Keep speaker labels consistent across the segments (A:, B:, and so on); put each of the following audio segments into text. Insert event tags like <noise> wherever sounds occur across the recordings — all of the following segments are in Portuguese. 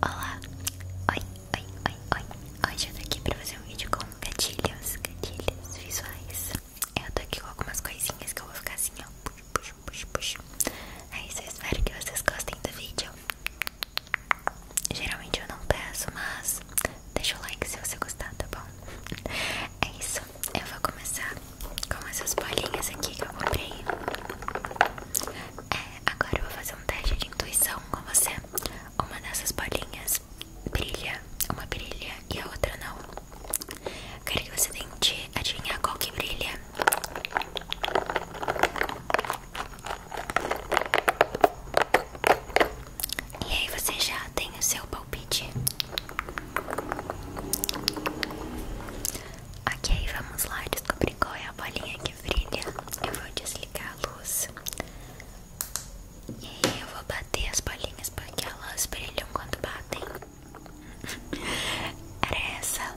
A: Olá, oi, oi, oi, oi. Hoje eu tô aqui pra fazer um vídeo com gatilhos, gatilhos visuais. É, eu tô aqui com algumas coisinhas que eu vou ficar assim, ó. Puxo, puxo, puxo, puxo. É isso, eu espero que vocês gostem do vídeo. Geralmente eu não peço, mas Deixa o like se você gostar, tá bom? É isso, eu vou começar com essas bolinhas aqui que eu comprei é, Agora eu vou fazer um teste de intuição com você Uma dessas bolinhas brilha, uma brilha e a outra não Quero que você tente adivinhar qual que brilha e aí você já tem o seu palpite? Ok, vamos lá descobrir qual é a bolinha que brilha. Eu vou desligar a luz. E aí eu vou bater as bolinhas porque elas brilham quando batem. <laughs> Era essa.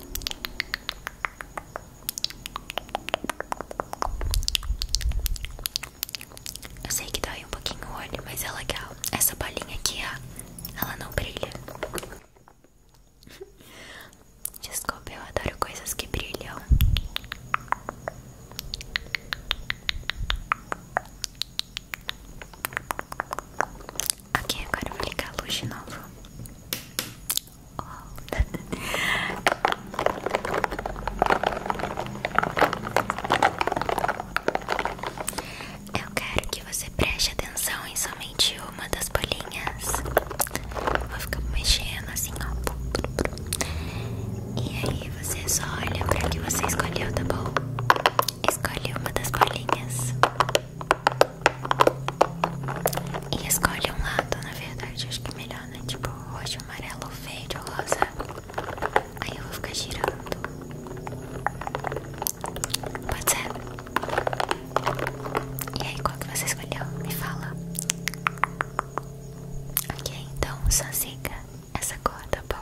A: Eu sei que dói um pouquinho o óleo, mas é legal. Essa bolinha aqui, ó, ela não brilha. <laughs> Desculpa, eu adoro coisas que brilham. Ok, agora eu vou ligar a luz de novo. <laughs> Oh. <laughs> Eu quero que você preste atenção em somente uma das bolinhas. Vou ficar mexendo assim, ó. E aí você só olha pra que você escolheu, tá bom? Escolhe uma das bolinhas. E escolhe um lado, na verdade. Acho que é melhor, né? Tipo roxo, amarelo, verde ou rosa. Aí eu vou ficar girando. Pode ser? E aí, qual que você escolheu? Me fala. Ok, então só siga essa corda, tá bom?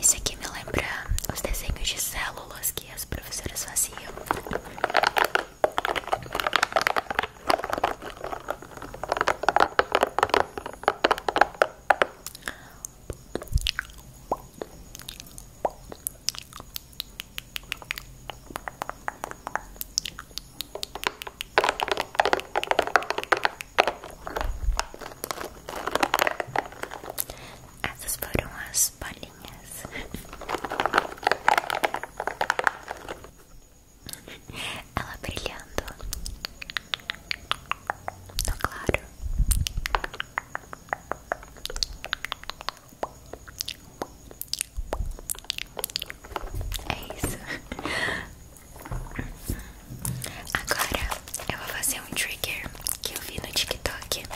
A: Isso aqui me lembra os desenhos de células que as professoras faziam. Essas foram as bolinhas. <laughs> Ela brilhando. Tá claro. É isso. Agora eu vou fazer um trigger que eu vi no TikTok. Eu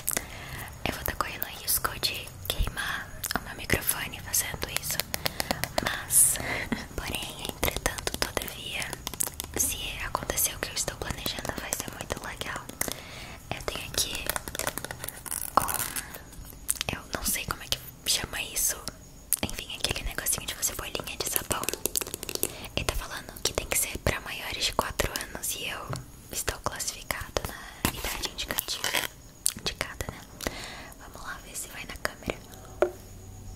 A: vou estar tá correndo risco de queimar o meu microfone fazendo isso. Mas, <laughs> porém, entretanto, todavia, se acontecer o que eu estou planejando, vai ser muito legal. Eu tenho aqui um, eu não sei como é que chama isso. Enfim, aquele negocinho de você bolinha de sapão. Ele tá falando que tem que ser para maiores de 4 anos e eu estou classificada na idade indicativa. Indicada, né? Vamos lá ver se vai na câmera.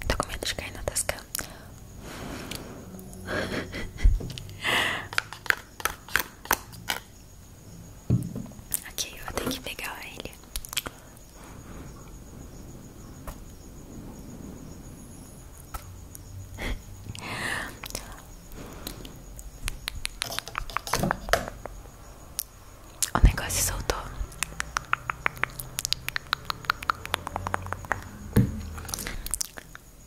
A: Tô com medo de cair na tasca boca. <laughs> ok, eu vou ter que pegar ele. <laughs> O negócio soltou.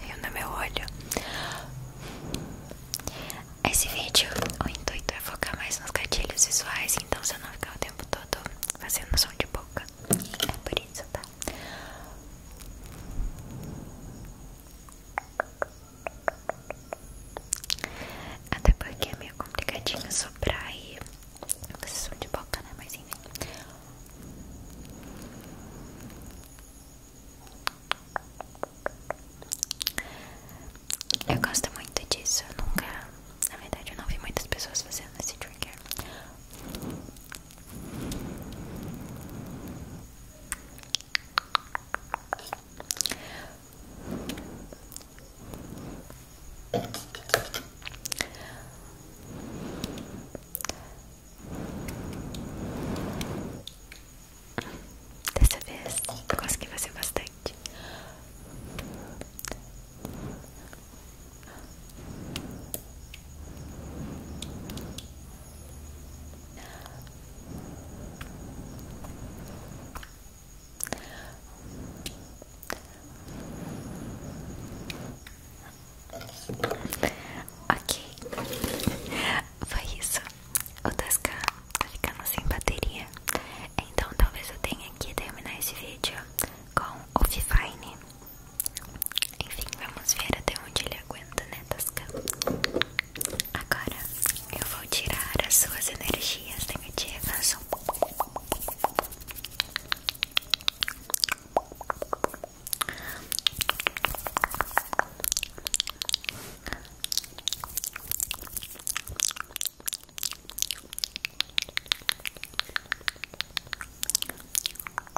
A: Veio no meu olho. Esse vídeo, o intuito é focar mais nos gatilhos visuais, então se eu não ficar o tempo todo fazendo som de boca, é por isso, tá? Até porque é meio complicadinho soprar e vocês são de boca, né? Mas enfim. Eu gosto muito disso. Eu nunca, na verdade, eu não vi muitas pessoas fazendo esse trigger. Dessa vez eu consegui fazer é bastante. Ok, foi isso. O Tasca tá ficando sem bateria, então talvez eu tenha que terminar esse vídeo com o Fifine. Enfim, vamos ver até onde ele aguenta, né, Tasca? Agora eu vou tirar as suas energias negativas. Agora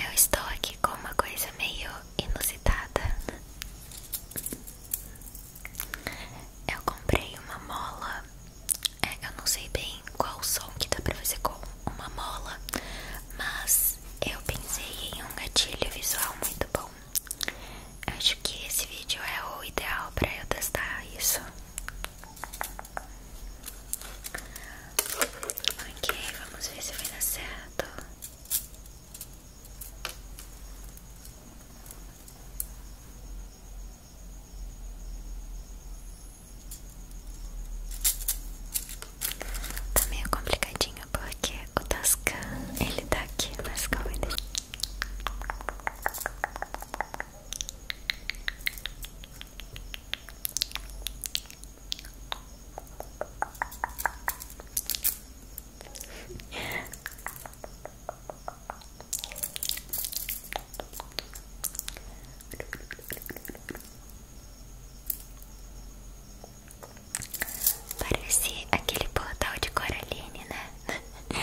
A: Eu estou aqui com uma coisa meio inusitada. Eu comprei uma mola. É, eu não sei bem qual som que dá pra fazer com uma mola, mas eu pensei em um gatilho visual muito bom. acho que esse vídeo é o ideal para eu testar isso. Ok, vamos ver se vai dar certo. Tá meio complicadinho porque o Tascan ele tá aqui, mas calma Parecia aquele portal de Coraline, né? <laughs>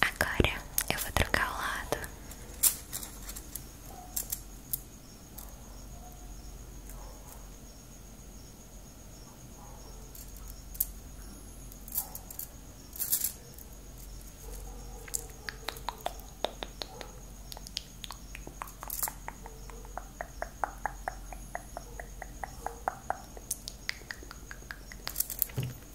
A: Agora eu vou trocar o lado.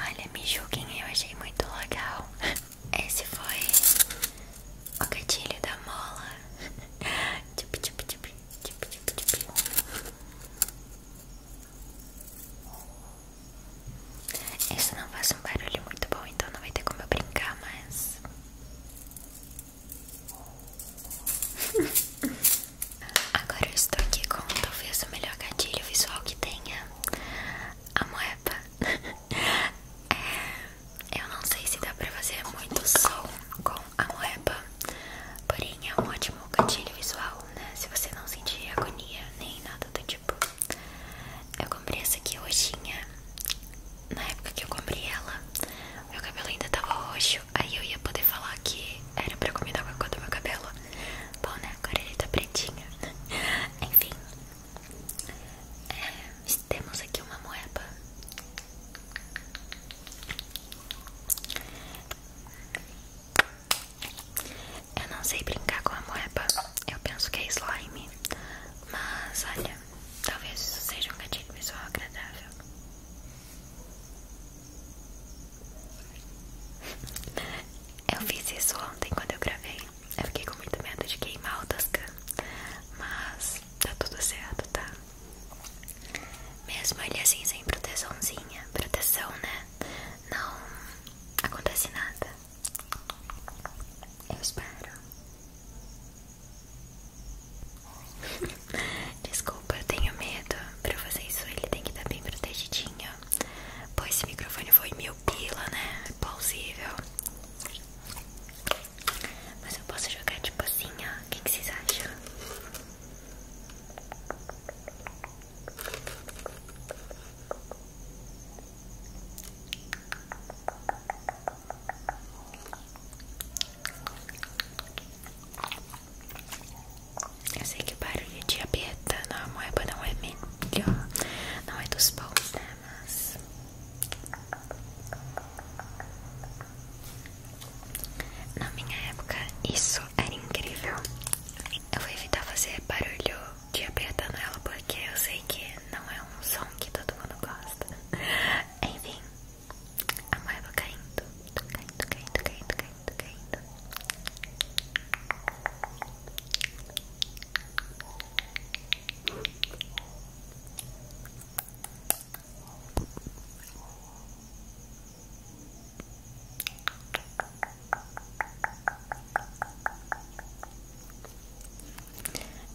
A: Olha, me julguem, eu achei muito legal. <laughs> Esse foi o gatilho da mola. <laughs> tchup, tchup, tchup, tchup, tchup, tchup. Isso não faz um barulho muito bom, então não vai ter como eu brincar, mas. <laughs> Agora eu estou aqui com talvez o melhor gatilho visual que tenha a moeba. <laughs> é eu não sei se dá pra fazer muito som com a moeba, porém é um ótimo gatilho visual, né? Se você não sentir agonia nem nada do tipo. Eu comprei essa aqui roxinha. Na época que eu comprei ela, meu cabelo ainda tava roxo, aí eu ia poder falar que era pra combinar com a cor do meu cabelo. Bom, né? Agora ele tá pretinho. <laughs> Enfim, é, temos aqui uma moeba eu não sei brincar com a moeba, eu penso que é slime, mas olha, talvez isso seja um gatilho pessoal agradável. Eu fiz isso ontem quando eu gravei, eu fiquei com muito medo de queimar o Toscan, mas tá tudo certo, tá? Mesmo ele assim sem proteçãozinha, proteção, né? Não acontece nada. Eu espero. <laughs> Desculpa, eu tenho medo. Pra fazer isso, ele tem que estar tá bem protegidinho. Pois esse microfone foi mil pila, né? É plausível. Mas eu posso jogar tipo assim, ó. O que, vocês acham? Eu sei que o barulho de aberta na moeba não é melhor, não é dos bons, né? Bahamas. Na minha época, isso era incrível. Eu vou evitar fazer barulho de apertando ela porque eu sei que não é um som que todo mundo gosta. Enfim, a moeda caindo, caindo, caindo, caindo, caindo, caindo.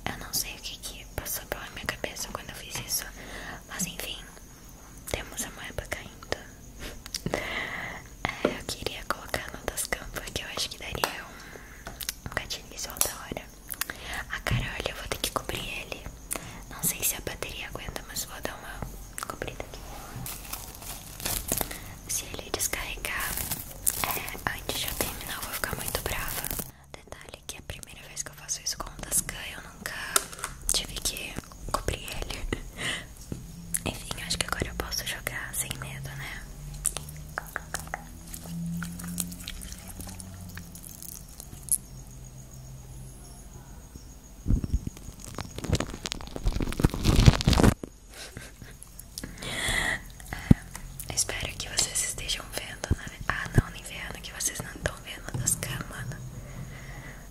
A: Eu não sei o que, passou pela minha cabeça quando eu fiz isso, mas enfim, temos a moeda caindo. <laughs> É, eu queria colocar no das campo, que eu acho que daria um, um visual da hora a ah, cara, olha, eu vou ter que cobrir ele. Não sei se a bateria aguenta, mas vou dar uma cobrida aqui. Se ele descarregar é, antes de eu terminar, eu vou ficar muito brava. Detalhe que é a primeira vez que eu faço isso com o Tascan, eu nunca tive que cobrir ele. <laughs> Enfim, acho que agora eu posso jogar sem medo, né? É, espero que vocês estejam vendo, né? Ah, não, nem vendo, que vocês não estão vendo nas câmeras.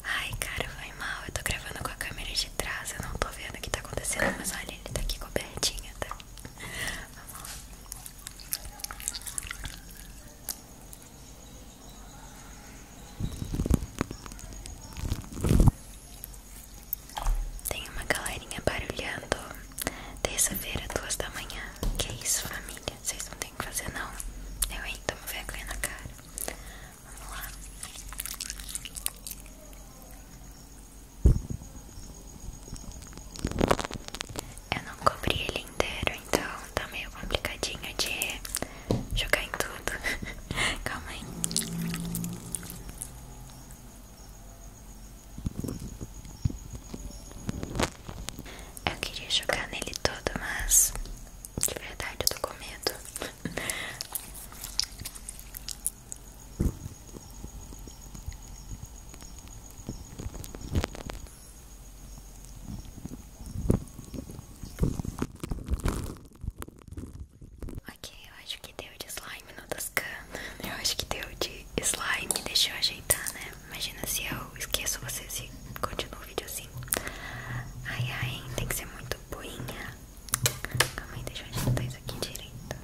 A: Ai, cara, foi mal. Eu tô gravando com a câmera de trás, eu não tô vendo o que tá acontecendo, mas olha, ele tá aqui cobertinha, tá? Vamos lá. Tem uma galerinha barulhando terça-feira, duas da manhã. Que isso, família? Vocês não tem que fazer não. Eu ainda tomo vergonha na cara. Vamos lá. Eu não cobri ele inteiro, então tá meio complicadinho de jogar em tudo. <laughs> Calma aí. Eu queria jogar nele todo, mas de verdade eu tô com medo. Ok, eu acho que deu de slime no Toscana. Eu acho que deu de slime. Deixa eu ajeitar, né? Imagina se eu esqueço vocês e continuo o vídeo assim. Ai, ai, tem que ser muito boinha. Calma aí, deixa eu ajeitar isso aqui direito.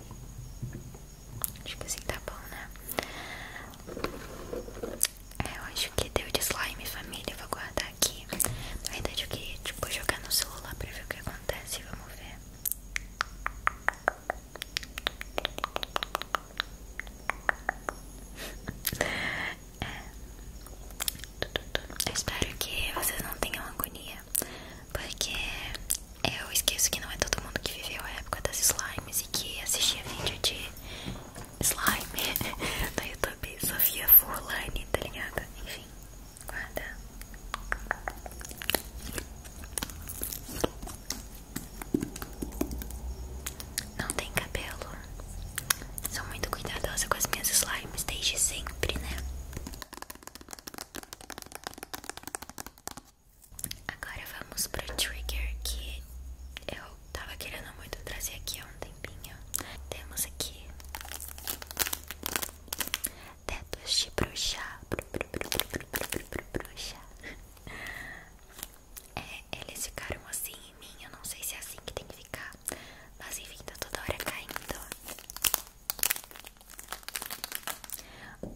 A: Acho tipo que assim tá bom, né? É, eu acho que deu de slime, família. Vou guardar aqui. Na verdade, eu queria, tipo, jogar no celular pra ver o que acontece. Vamos ver. <laughs> É. espero que vocês não tenham agonia, porque eu esqueço que não é todo mundo que viveu a época das slimes e que assistia vídeo de slime no <laughs> YouTube, tá, Sofia Furlane, tá ligado? Enfim, guarda. Não tem cabelo. Sou muito cuidadosa com as minhas slimes desde sempre, né? Agora vamos pro trigger que eu tava querendo muito trazer aqui há um tempinho. Temos aqui tetos de bruxa. bruxa. É, eles ficaram assim em mim. Eu não sei se é assim que tem que ficar. Mas enfim, tá toda hora caindo.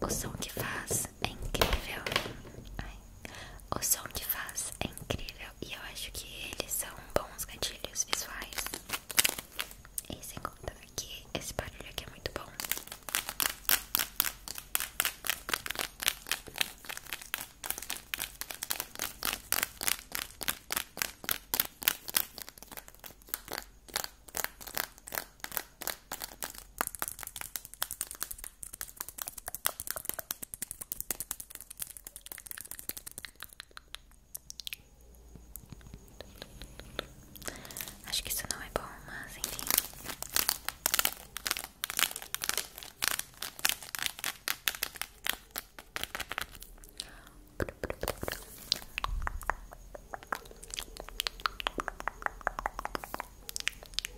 A: O som que faz é incrível. O som que faz é incrível. E eu acho que eles são bons gatilhos visuais. E sem contar que esse barulho aqui é muito bom. Acho que isso não é bom, mas enfim.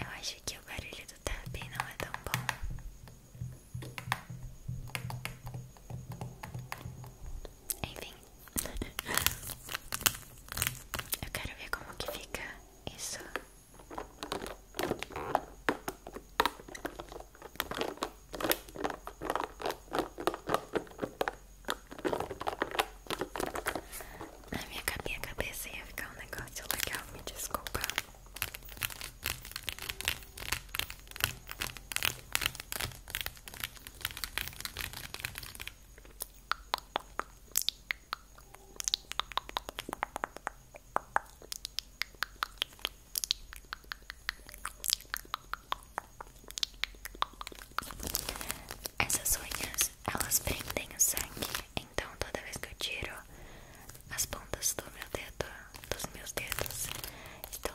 A: Eu acho que o barulho do tapping não é tão bom. Enfim, eu quero ver como que fica isso. Na minha cabeça ia ficar um negócio legal, me desculpa. Essas unhas, elas prendem o sangue, então toda vez que eu tiro as pontas do meu dedo, dos meus dedos, estão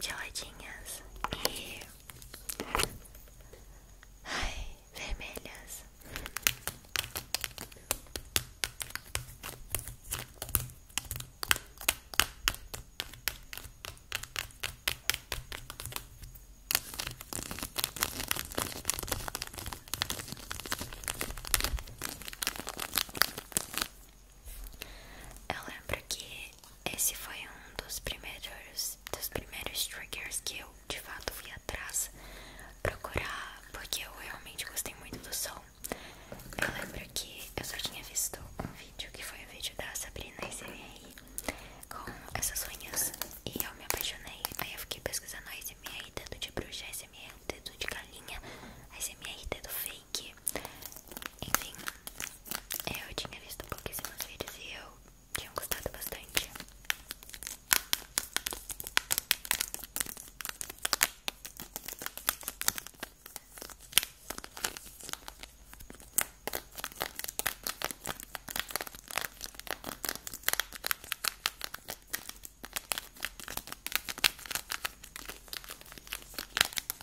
A: geladinhas e vermelhas. Eu lembro que esse foi um dos primeiros dos primeiros triggers que eu de fato fui atrás procurar, porque eu realmente gostei muito do som. Eu lembro que eu só tinha visto um vídeo que foi o vídeo da Sabrina SMI com essas unhas e eu me apaixonei. Aí eu fiquei pesquisando a SMI, dedo de bruxa, SMI, dedo de galinha, SMI, dedo feio que, enfim, eu tinha visto pouquíssimos vídeos e eu tinha gostado bastante.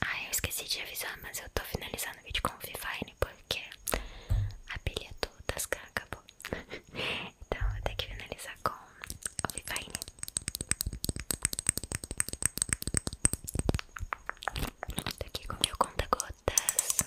A: Ah, eu esqueci de avisar, mas eu tô finalizando o vídeo com o Vivine porque a pilha toda caras acabou. <laughs> então eu tenho que finalizar com o Vivine. Tô aqui com meu conta-gotas.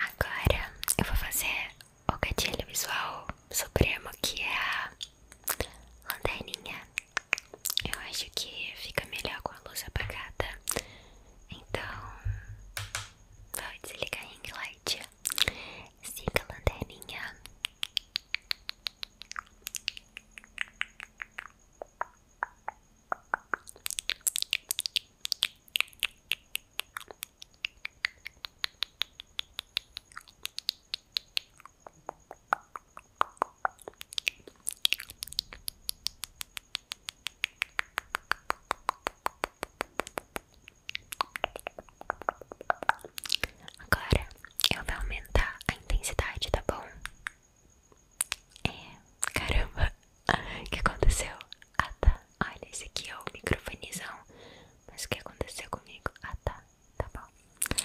A: Agora eu vou fazer o gatilho visual supremo que é a lanterninha. Eu acho que fica melhor com a luz apagada então, vai desligar a ring light. Siga a lanterninha. Agora eu vou aumentar a intensidade, tá bom? É, caramba, o que aconteceu? Ah tá, olha, esse aqui é o microfonezão Mas o que aconteceu comigo? Ah tá, tá bom.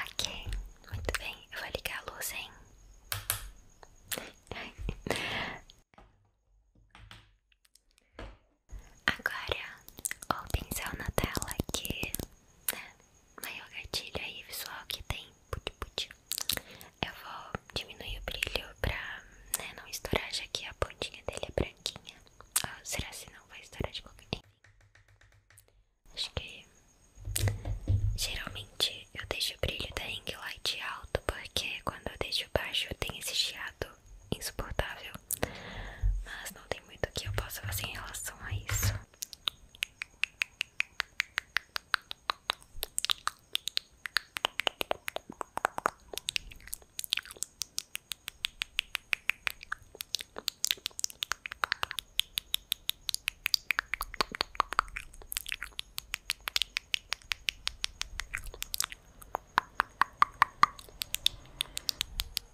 A: Ok, muito bem, eu vou ligar a luz, hein? Agora, o pincel na tela que né, maior gatilho aí visual que tem. Puti, puti. Eu vou diminuir o brilho pra né, não estourar, já que a pontinha dele é branquinha. Ah, será se não vai estourar de qualquer jeito? Acho que geralmente eu deixo o brilho da Ring alto, porque quando eu deixo baixo tem esse chiado insuportável. Mas não tem muito que eu possa fazer em relação a isso.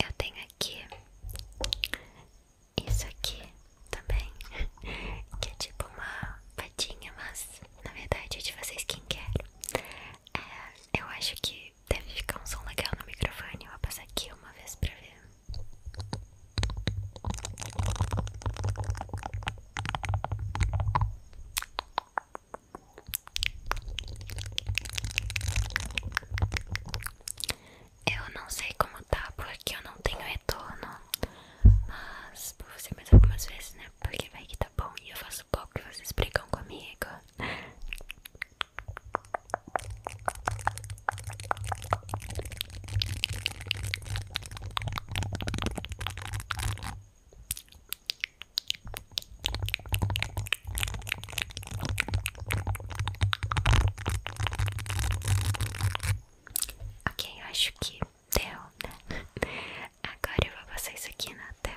A: Eu tenho aqui isso aqui também, que é tipo uma patinha, mas na verdade é de vocês quem quer é, eu acho que deve ficar um som legal no microfone, eu vou passar aqui uma vez pra ver. Eu não sei como tá porque eu não tenho retorno mas vou fazer mais algumas vezes, né? Porque vai que tá bom e eu faço pouco e vocês brigam comigo. Quem eu acho que deu, né? Agora eu vou passar isso aqui na tela.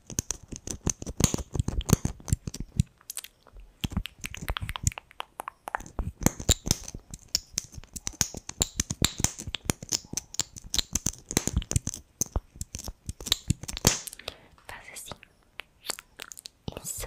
A: Faz assim. Isso.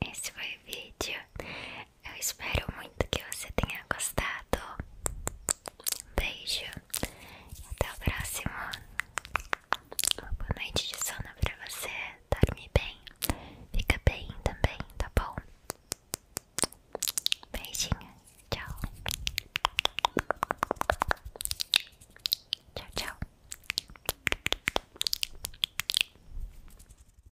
A: esse foi o vídeo. Eu espero muito que você tenha gostado. Um beijo até o próximo. boa noite de sono pra você. Dorme bem, fica bem também, tá bom? Beijinho, tchau. Tchau, tchau.